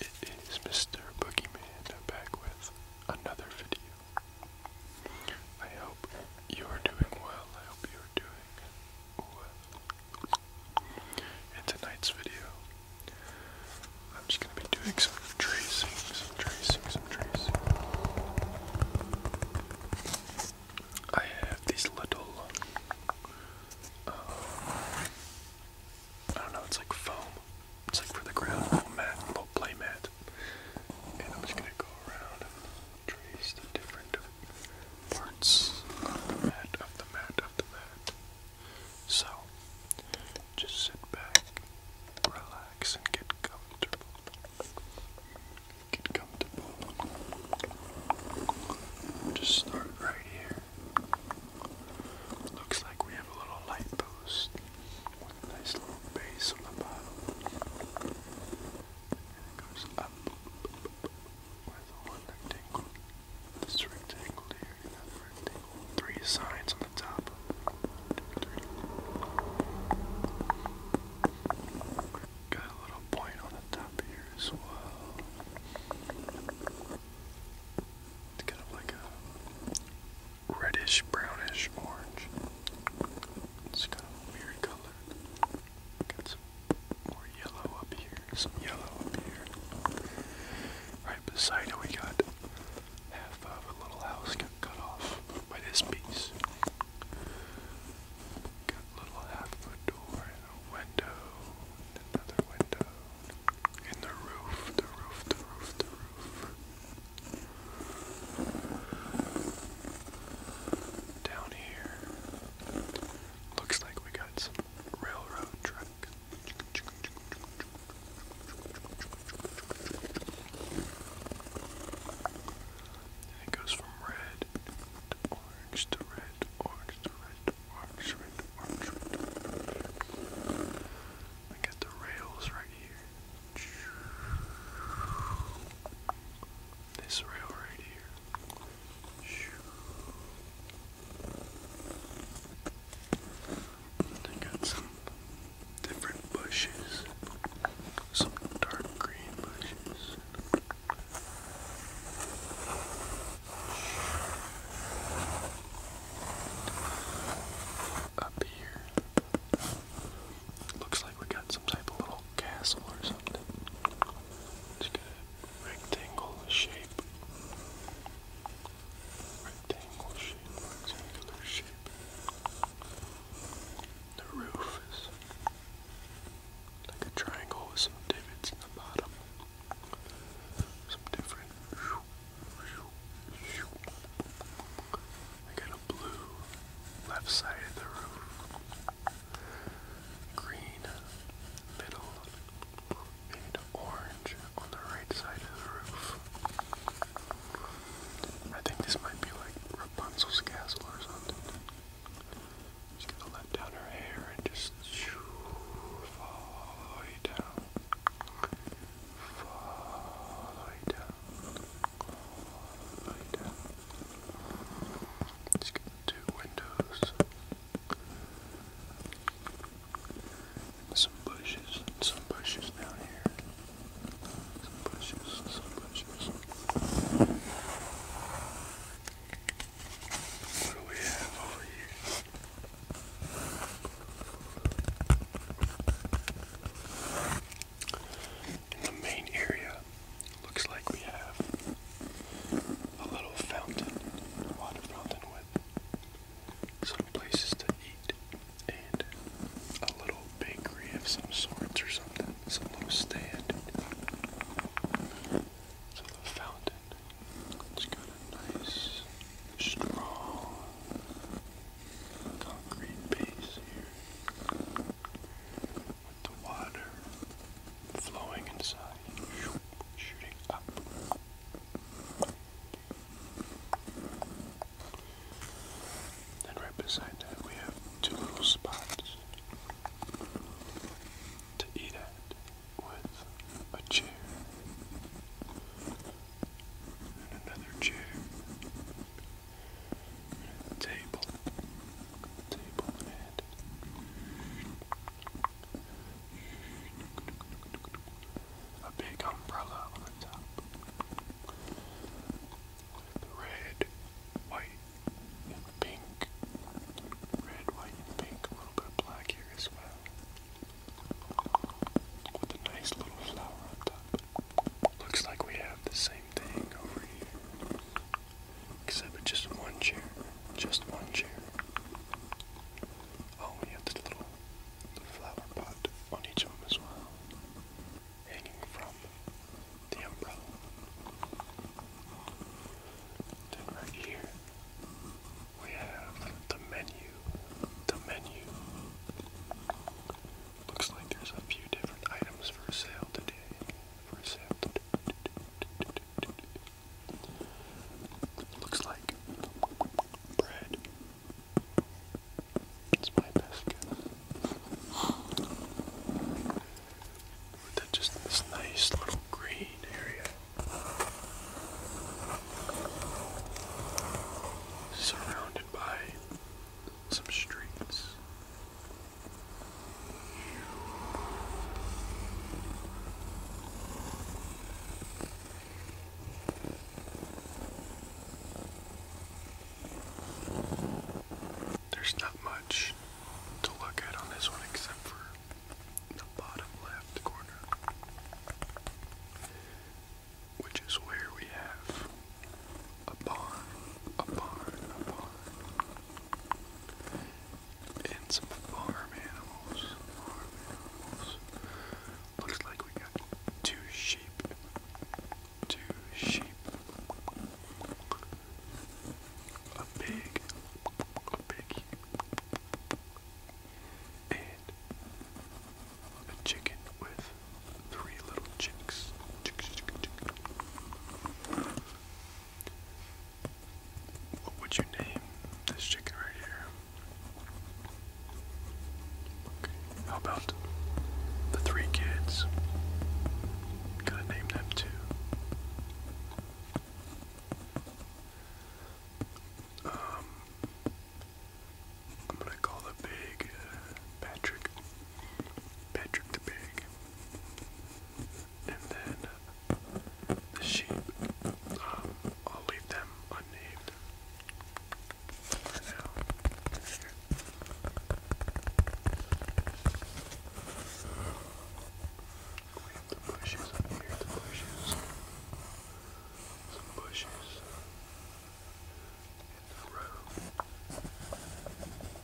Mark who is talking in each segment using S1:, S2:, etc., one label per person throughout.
S1: It is Mr. Boogeyman back with another video. I hope you are doing well. I hope you are doing well. tonight's video, I'm just going to be doing some tracing, some tracing, some tracing. I have these little, uh, I don't know, it's like foam. It's like for the ground, little mat, little play mat. And I'm just going to go around trace the different parts of the mat, of the mat, of the mat. So, just sit back, relax, and get comfortable. Get comfortable. Just start right here. Looks like we have a little light post with a nice little base on the bottom. And it goes up with one rectangle this rectangle here, three sides on the top. Got a little point on the top here as well. It's kind of like a reddish, brownish orange. It's kind of a weird color. Got some more yellow up here some yellow up here. Right beside it, we got half of a little house cut off by this piece. Got a little half of door and a window, and another window, and the roof, the roof, the roof, the roof. Down here, looks like we got some railroad tracks. And it goes from red to orange to red, orange to red, to orange to red, to orange to red. To orange. I got the rails right here. This rail right here. I got some different bushes, some dark green bushes. Up here. Looks like we got some type of little castle or something. it a rectangle shape rectangle shape, rectangular shape. The roof is like a triangle with some divots in the bottom. Some different. I got a blue left side of the roof, green middle, and orange on the right side of the roof. I think this might be like Rapunzel's castle or something. She's gonna let down her hair and just shoo, follow you down. Follow you down. Follow down. Just get the two windows. Some bushes, some bushes down here. Some bushes, some bushes. What do we have over here? In the main area, looks like we have a little fountain, water fountain with some places to eat and a little bakery of some sorts or something, some little stand. So the fountain, it's got nice, strong concrete base here with the water flowing inside shooting And right beside that, we have two little spots to eat at with a chair and another chair and a table, table and a big umbrella on the top. Red, white, and pink. Red, white, pink. A little bit of black here as well. With a nice little flower on top. Looks like we have the same thing over here. Except for just one chair. Just one chair. Oh, we have the little the flower pot on each of them as well. Hanging from the umbrella. Then right here we have the menu. The menu. Looks like there's a few different items for sale today. For sale Looks like bread. It's my best guess. With just this nice little green area. Surrounded by some streets there's not much to look at on this one except for the bottom left corner, which is where we have a barn, a barn, a barn and some farm animals. Farm animals. Looks like we got two sheep. Two sheep. A pig. A piggy. And a chicken with three little chicks. What would you name this chicken right here? Okay, how about the three kids? Gotta name them too. Um, I'm gonna call the big uh, Patrick. Patrick the Big and then uh, the sheep. Um, I'll leave them unnamed for now. We bushes here, the bushes. Some bushes in the row.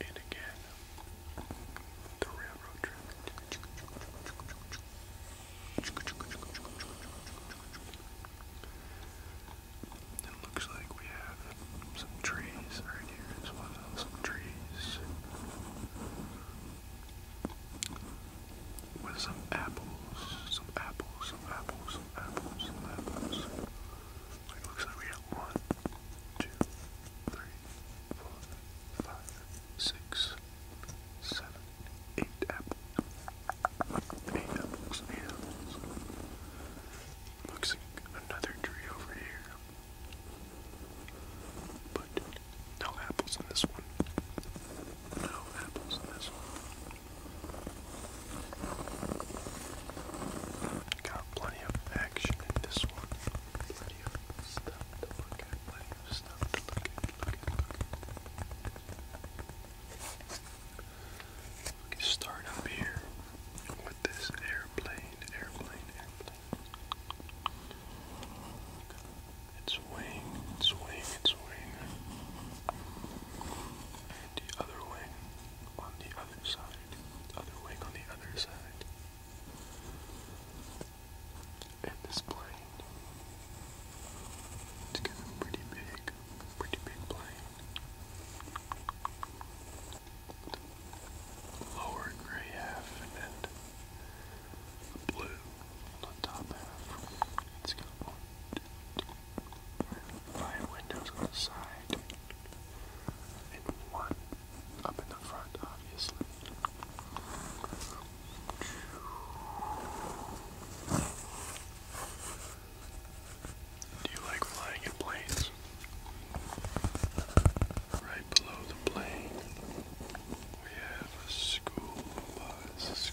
S1: And again, the railroad track. It looks like we have some trees right here as well. Some trees with some apples, some apples, some apples, some apples, some apples. Like looks like we got one, two, three, four, five, six, seven, eight apples. Eight apples, eight apples. Looks like another tree over here. But no apples in this one. No apples in this one. Got plenty of action in this one. Plenty of stuff to look at. Plenty of stuff to look at. Look at. start up here with this airplane. Airplane. Airplane its wing, its wing, its wing. And the other wing on the other side. Other wing on the other side. And this plane. It's getting pretty big. Pretty big plane. Lower gray half and blue on the top half. It's got one, five windows on the side, and one up in the front, obviously. Do you like flying in planes? Right below the plane, we have a school bus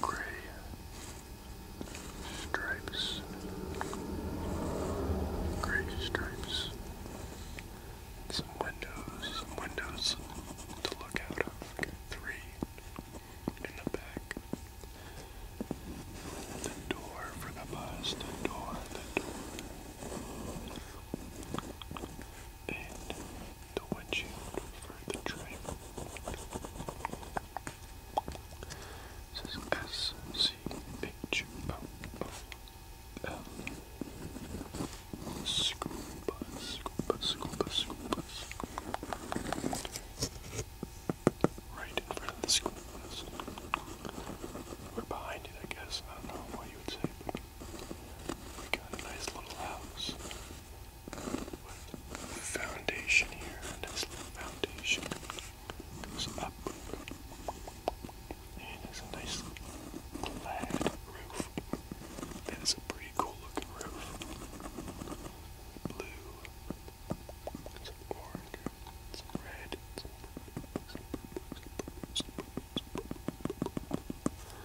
S1: gray stripes, gray stripes, some windows, some windows to look out of, three in the back, the door for the bus, the door, the door, and the windshield for the driver. This is S C H O O L. Scuba, scuba, scuba, scuba. Right in front of the school We're behind it, I guess. I don't know what you would say, we got a nice little house with the foundation here. This little foundation goes up. And there's a nice plaid roof. That is a pretty cool looking roof. Blue, some orange, some red, some, some, some, some, some, some, some, some,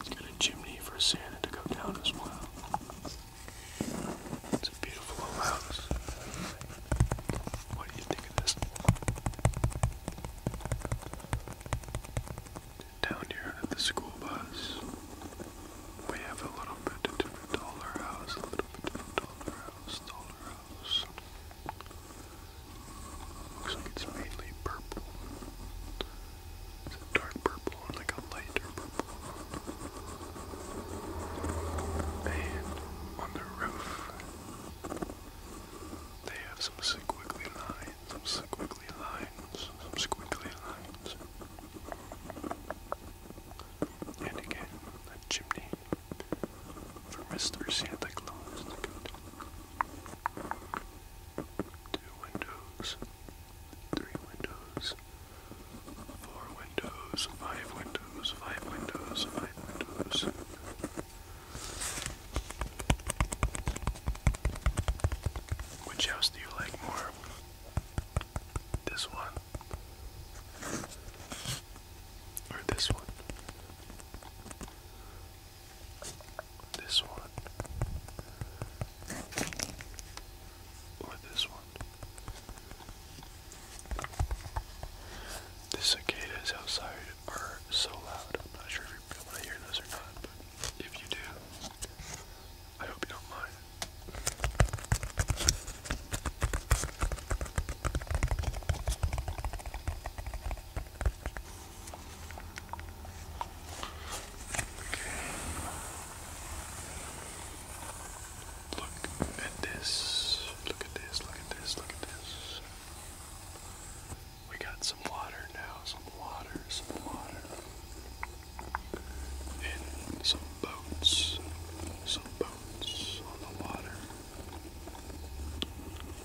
S1: it's Got a chimney for Santa to go down as well. It's a beautiful old house. What do you think of this? Down here at the school bus, we have a little bit of different dollar house, a little bit different dollar house, dollar house. Looks like it's mainly purple. It's a dark purple and like a lighter purple. And on the roof, they have some squiggly lines, some squiggly lines, some squiggly lines. And again, that chimney for Mr. Santa Claus Two windows. Three windows, four windows, five windows, five windows, five windows. Which house do you like more? This one? Or this one? This one. Or this one. The cicadas outside are so loud. I'm not sure if you're able to hear those or not, but if you do, I hope you don't mind. Look at this. Look at this. Look at this. Look at this. We got some water now. Some water. Some water. And some boats. Some boats on the water.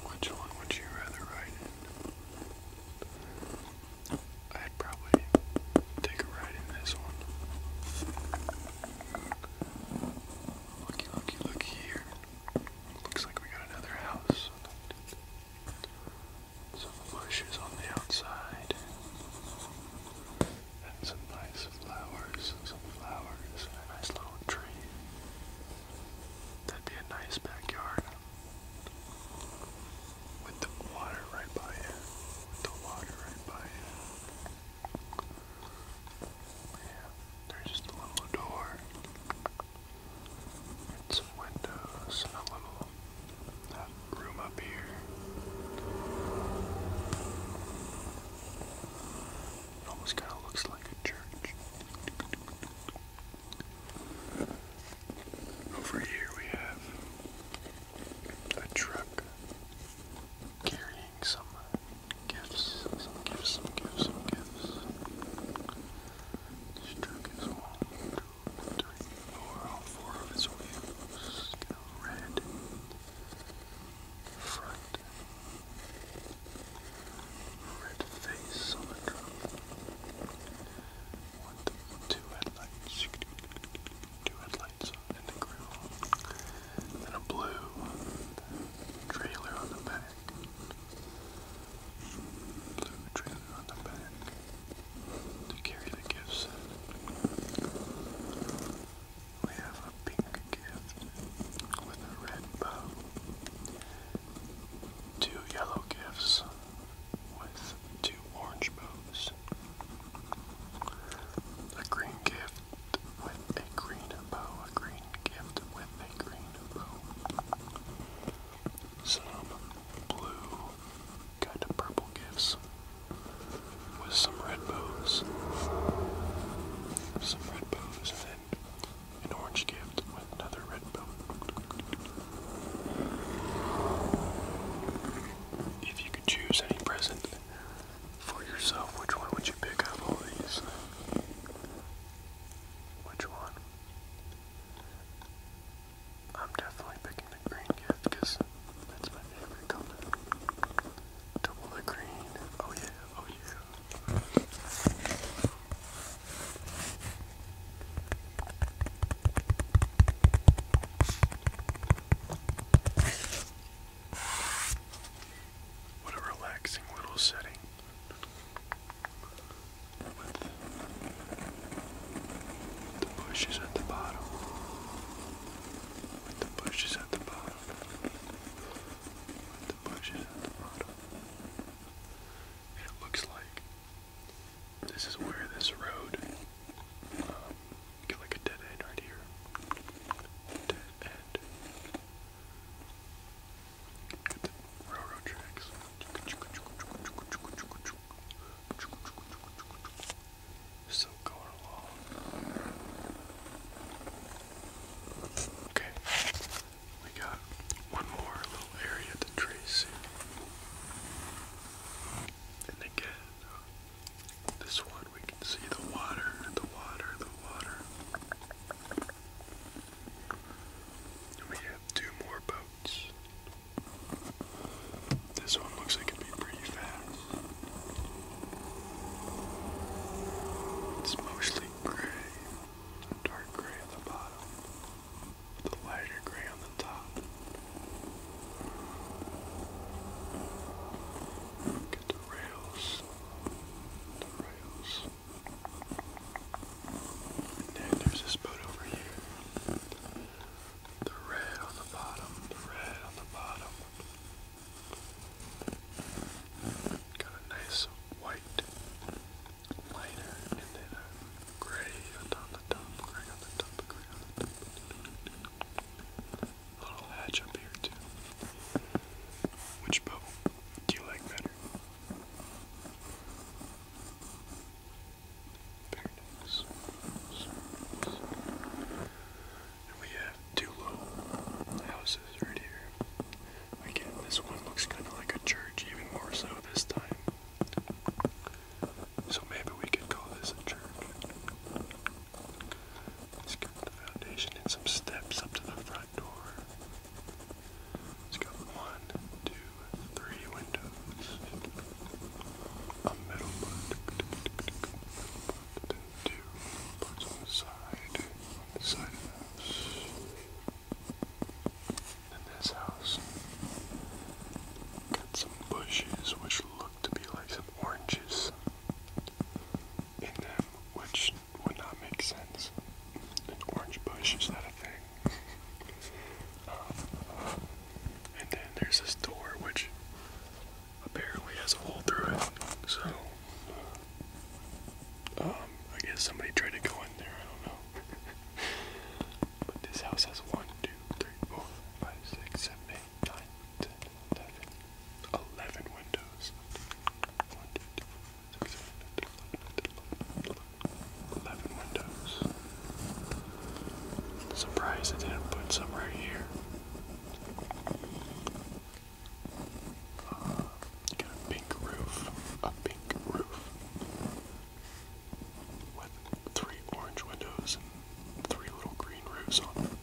S1: Which one would you rather ride in? I'd probably take a ride in this one. Looky, looky, look here. Looks like we got another house. Some bushes on the outside. And some nice flowers. Some flowers. And a nice little tree. That'd be a nice backyard. With the water right by it. With the water right by it. Yeah, there's just a little door. With some windows and a little uh, room up here. almost kind of looks like a church. Over here we have a truck carrying some uh, gifts, some gifts, some gifts, some gifts. This truck is one, two, three, four, four of its wheels. You red, front, red face on the drum. One, two headlights, two headlights in the grill, and a blue trailer on the back. Blue trailer on the back to carry the gift We have a pink gift with a red bow two yellow gifts with two orange bows, a green gift with a green bow, a green gift with a green bow, some blue kind of purple gifts with some red bows, some red bows, and an orange gift with another red bow. If you could choose any present for yourself, which one would you pick out all these? Which one? I'm definitely picking the green gift because that's my favorite color. Double the green. Oh yeah, oh yeah, what a relaxing little setting with the bushes at the bottom. With the bushes at the bottom. With the bushes at the bottom it looks like this is where this road, um, get like a dead end right here. Dead end. Get the railroad tracks. So going along. Okay. We got one more little area to trace And again, this one we can see the water, the water, the water. we have two more boats. This one looks like it'd be pretty fast. It's mostly gray dark gray at the bottom, with a lighter gray on the top. Look the rails, the rails. And then there's this boat over here. The red on the bottom, the red on the bottom. Got a nice white liner and then a gray on the top, gray on the top, gray on Little hatch up here too. Which boat do you like better? we have two little houses right here. Again, this one looks kind of like a church, even more so this time. So maybe we could call this a church. Let's get the foundation and some steps up to the front door. It's got one, two, three windows. A metal one two parts on the side, on the side of the house, and this house got some bushes which look to be like some oranges in them, which would not make sense. An orange bush is that a thing. Um, and then there's this door which apparently has a hole through it, so um, I guess somebody tried to go in there, I don't know. but this house has 1, windows. 1, 2, didn't put some right here. A pink roof, a pink roof with three orange windows and three little green roofs on them.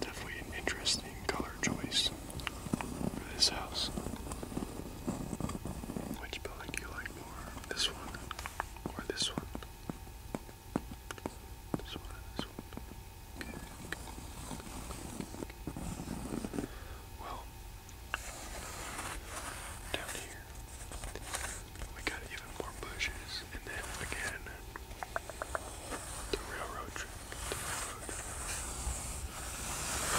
S1: Definitely an interesting color choice for this house. Which building do you like more? This one or this one? This one, this one. Well, down here we got even more bushes, and then again the railroad track.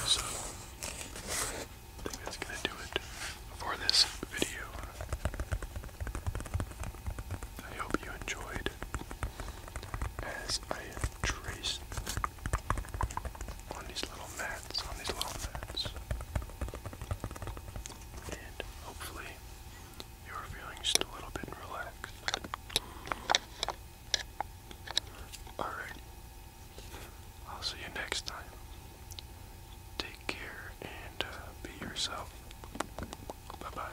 S1: So I think that's gonna do it for this video. I hope you enjoyed as I have on these little mats, on these little mats. And hopefully you are feeling just a little bit relaxed. Alright. I'll see you next time. Take care and uh, be yourself. Bye bye.